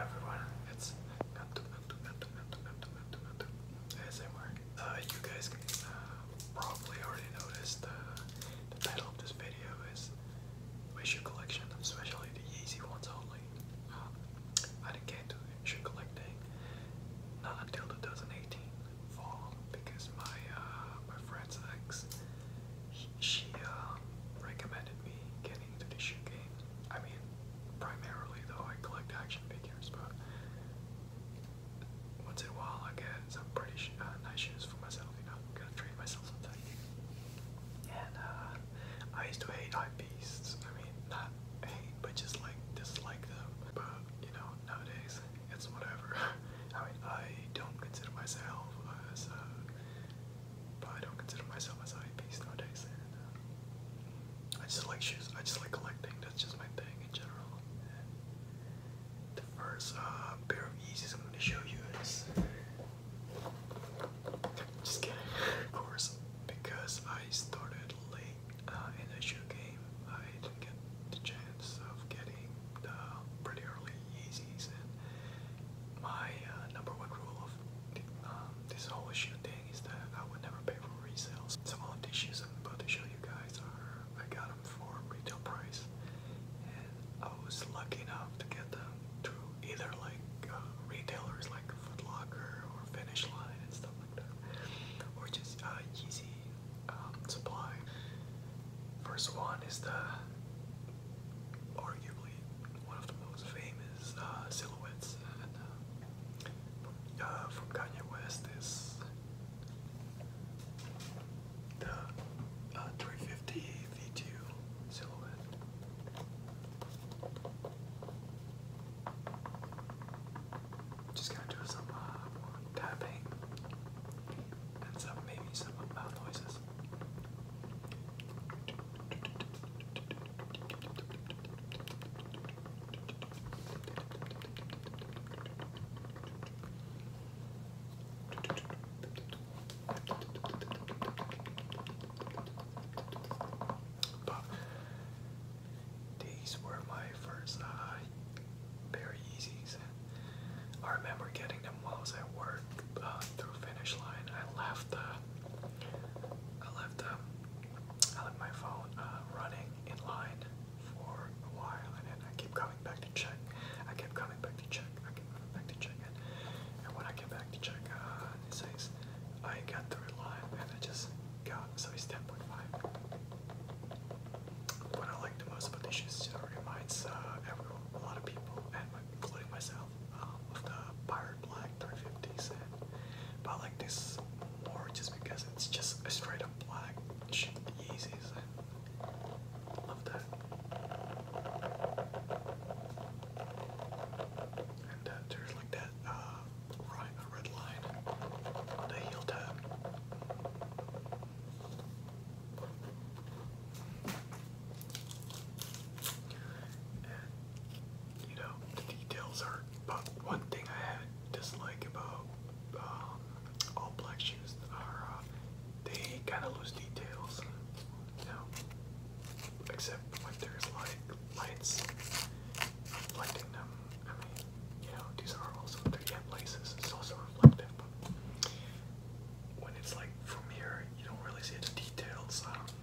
everyone, it's Nantu Nantu Nantu you guys can uh, probably already notice uh, the title of this video is my shoe collection, especially the Yeezy ones only. Uh, I didn't get to shoe collecting not until 2018 fall because my my friend's ex, she recommended me getting the shoe game. I mean, primarily though, I collect action figures, but once in a while I get some pretty uh, nice shoes for myself, you know, I'm gonna treat myself sometimes. And uh, I used to hate hype beasts. I mean, not hate, but just like dislike them. But you know, nowadays it's whatever. I mean, I don't consider myself as a but I don't consider myself as a hype nowadays. Uh, I just like shoes. I just like collecting. That's just my thing in general. the first uh, pair of Yeezys I'm going to show you is just kidding, of course, because I started late uh, in the shoe game. I didn't get the chance of getting the pretty early Yeezys, and my number one rule of um, this whole issue thing is that I would never pay for resales. Some of the tissues I'm about to show you guys are, I got them for retail price, and I was lucky enough to get them through either like uh, retailers like Foot Locker or Finish Line and stuff like that, or just uh, Easy um, Supply. First one is the arguably one of the most famous uh, silhouettes uh, uh, from, Kanye West is the 350 V2 silhouette. Just gonna do some tapping and some maybe some mouth noises. But these were my first uh, Berry Yeezys. I remember getting them while I was at work uh, through finish line. I left the, I left the, I left my phone uh, running in line for a while, and then I keep coming back to check. I kept coming back to check. I kept coming back to check and when I came back to check, uh, it says I got through line, and I just got so it's ten point five. What I like the most about this is it reminds uh, everyone, a lot of people, and including myself, um, the Pirate Black 350 set, but I like this more just because it's just a straight up black Yeezys. Love that. And uh, there's like that uh, right, a red you know, the details are. But one thing I had dislike about um, all black shoes are uh, they kind of lose details. You know, except when there's like lights reflecting them. I mean, you know, these are also 3D places. It's also reflective, but when it's like from here, you don't really see the details. Um,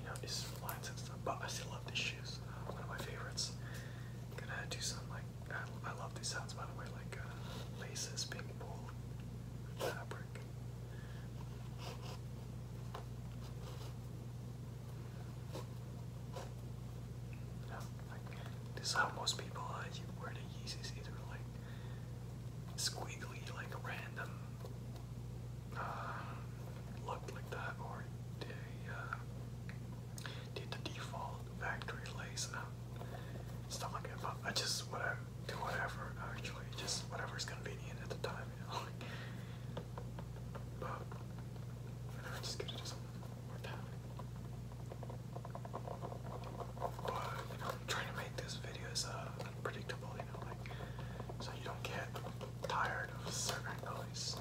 you know, it's lines and stuff. But I still love these shoes. one of my favorites. Gonna do some like I, love these sounds by the way, like uh, laces being pulled, fabric. You know, this is how most people uh, you wear the Yeezys either like squiggly like random looked like that, or they did the default factory lace up, stuff like that. I just whatever, do whatever actually, just whatever's convenient at the time, but just trying to make these videos uh, unpredictable so you don't get tired of certain noise.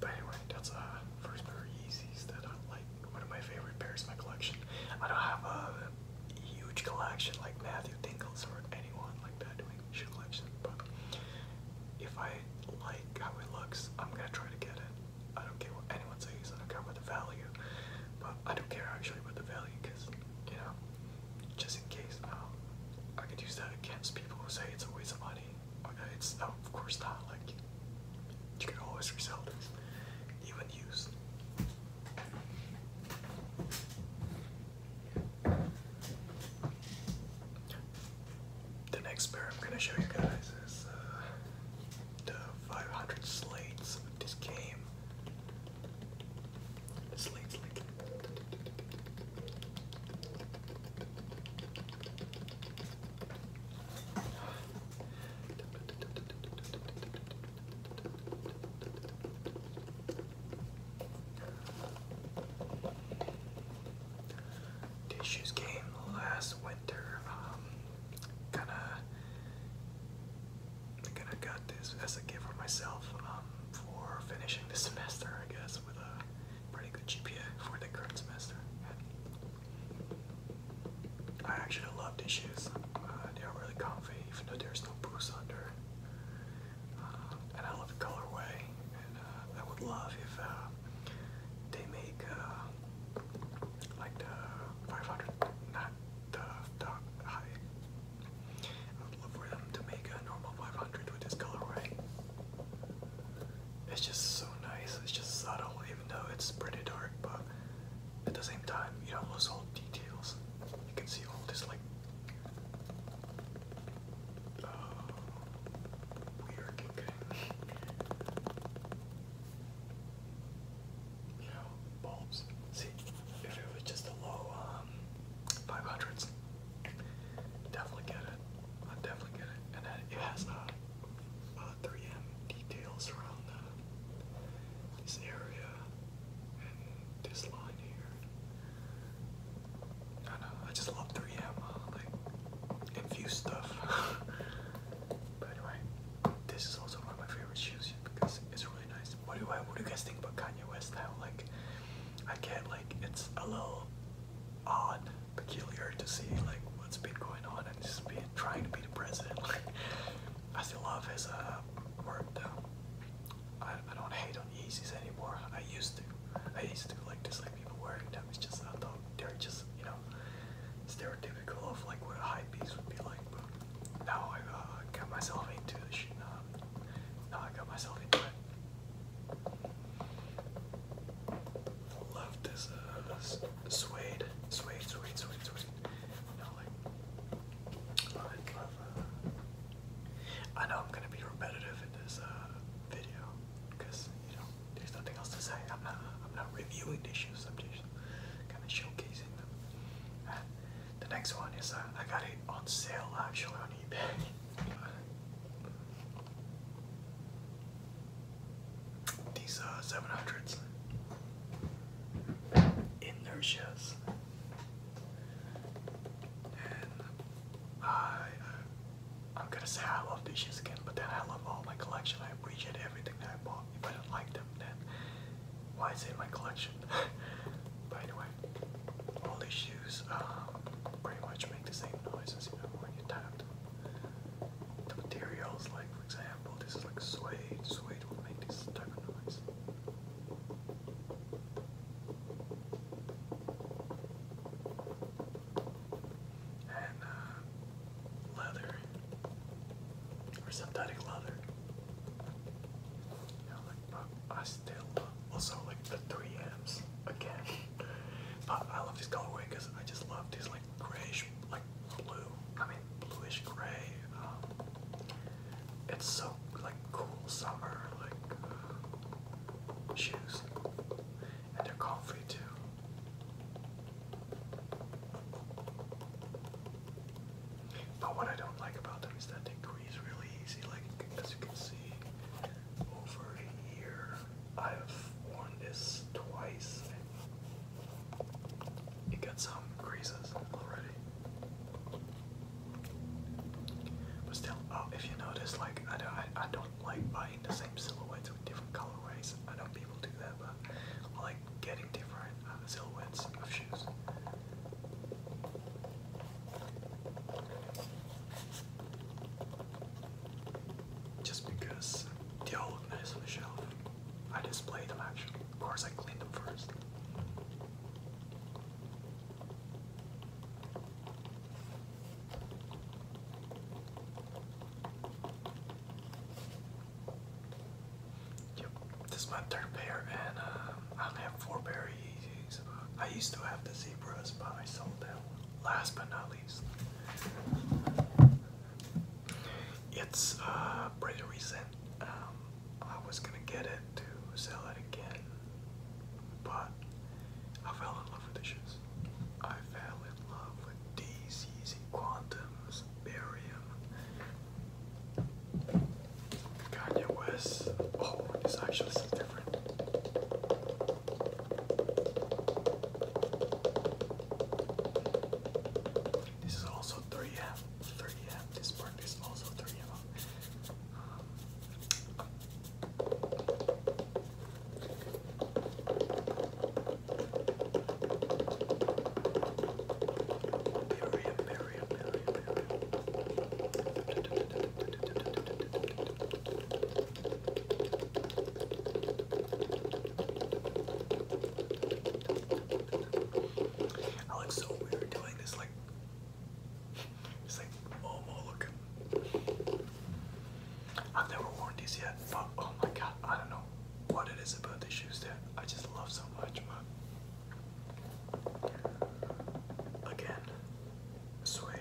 But anyway, that's uh first pair of Yeezys that I like one of my favorite pairs in my collection. I don't have a huge collection like Matthew Dingles or anyone like that doing shoe collection, but if I like how it looks, I'm gonna try to get it. I don't care what anyone says, I don't care about the value, but I don't care actually about the value because, you know, just in case, um, I could use that against people who say it's a waste of money. it's of course not, like, you can always resell this, even used. The next pair I'm gonna show you guys is uh, the 500 slates of this game. Slates like. This game last winter. Um, kind of kind of got this as a gift for myself um, for finishing this semester, I guess, with a pretty good GPA for the current semester. I actually love these shoes. Uh, they are really comfy, even though there's no boost under. Uh, and I love the colorway. And uh, I would love if uh, they make uh, like the 500, not the, the high. I would love for them to make a normal 500 with this colorway. It's just so nice, it's just subtle, even though it's pretty dark, but at the same time, you know, not lose all details. You can see all this, like, uh, weird you know, bulbs. See, if it was just a low um, 500s, definitely get it. definitely get it. And then it has uh, uh, 3M details around the, this area and this line here. I know, I just love 3M, uh, like, infused stuff. But anyway, this is also one of my favorite shoes because it's really nice. What do I? What do you guys think about Kanye West now? Like, I get like it's a little odd, peculiar to see like what's been going on and just be trying to be the president. Like, I still love his uh, work though. I, I don't hate on Yeezys anymore. I used to. I used to like dislike people wearing them. It's just not though. they're just you know stereotypical of like what a high piece would be like, but now I uh, got myself into this shit. Now, I got myself into it. Left is suede, suede, suede, suede, suede. You know, like, I uh, know I'm gonna be repetitive in this uh, video because you know there's nothing else to say. I'm not. I'm not reviewing issues. I'm kind of showcasing them. the next one is uh, I got it on sale actually on eBay. These are uh, 700s, inertias, and uh, I, I'm gonna say I love these shoes again, but then I love all my collection. I appreciate it everything that I bought. If I didn't like them, then why is it in my collection? but anyway, all these shoes um, pretty much make the same noises, you know, when you tap them. The materials, like for example, this is like suede. Suede will make this type of noise. And uh, leather or synthetic leather. I still also like the 3Ms again. I love this colorway because I just love these like grayish, like blue. I mean, bluish gray. Um, it's so like cool summer like shoes, and they're comfy too. But what I don't like about them is that they grease really easy. Like as you can see, over here I have worn this twice. It got some greases already. But still, oh, if you notice, like I don't, I, don't like buying the same silhouettes with different colorways. I know people do that, but like getting different uh, silhouettes of shoes. Just because they all look on the shelf, I display them actually. Of course, I clean them first. Yep, this is my third pair, and uh, I only have four pair I used to have the zebras, but I sold them. Last but not least, it's uh, pretty recent. Um, I was gonna get it to sell it again, but I fell in love with the shoes. I fell in love with these Yeezy Quantum Williams, Kanye West. Oh, this actually is different. This is also 3M. 3M. This part is also 3M. Miriam, Miriam, Miriam, Miriam. doing this, like, just like, oh, oh, look. I've never worn these yet, but oh my god, I don't know what it is about the shoes that I just love so much, man. Again, suede.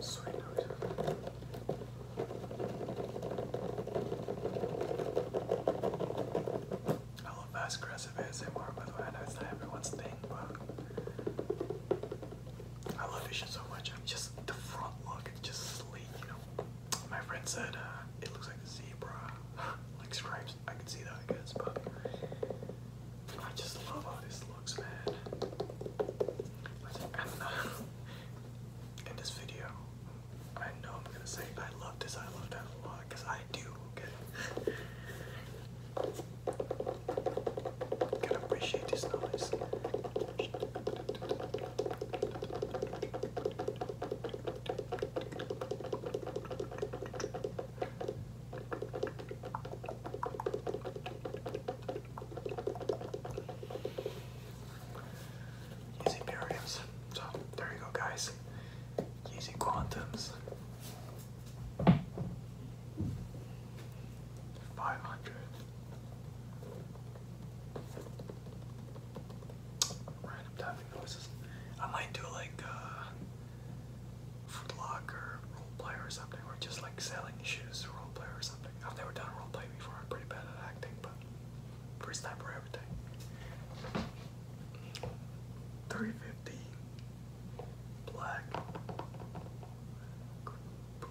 Suede I love fast aggressive I know it's not everyone's thing, but I love vision so much. I'm just the front look, just sleek, you know. My friend said uh, it looks like a zebra, like stripes. I can see that, I guess, but I just love how this looks, man. And uh, in this video, I know I'm gonna say I love this, I love that a lot, because I do, okay? Can appreciate Easy periods. So there you go, guys. Easy quantums. Five hundred. Random tapping noises. I might do like uh Food Locker roleplay or something, or just like selling shoes roleplay or something. I've never done roleplay before. I'm pretty bad at acting, but first time for everything. Three fifty black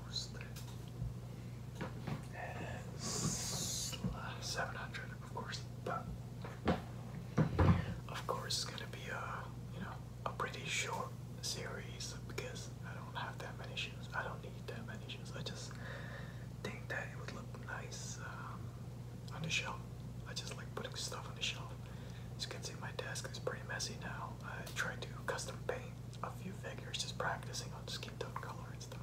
boost and seven hundred, of course, but of course it's gonna be a you know a pretty short series because I don't have that many shoes. I don't need that many shoes. I just think that it would look nice um, on the shelf. I just like putting stuff on the shelf. As you can see, my desk is pretty messy now. I tried to custom paint a few figures just practicing i on skin tone color and stuff.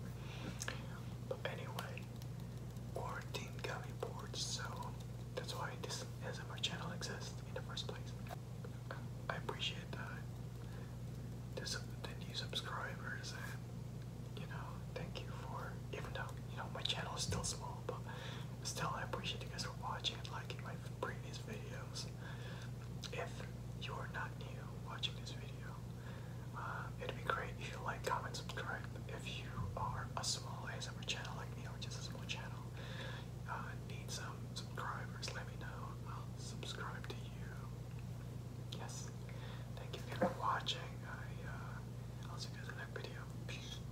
But anyway, quarantine gummy boards, so that's why this SMR channel exists in the first place. I appreciate that. The new subscribers and you know, thank you for even though you know my channel is still small, but Still, I appreciate you guys for watching and liking my previous videos. If you're not new watching this video, uh, it'd be great if you like, comment, subscribe. If you are a small ASMR channel like me, or just a small channel, uh, need some subscribers, let me know. I'll subscribe to you. Yes. Thank you for watching. I, will uh, see you guys in the next video.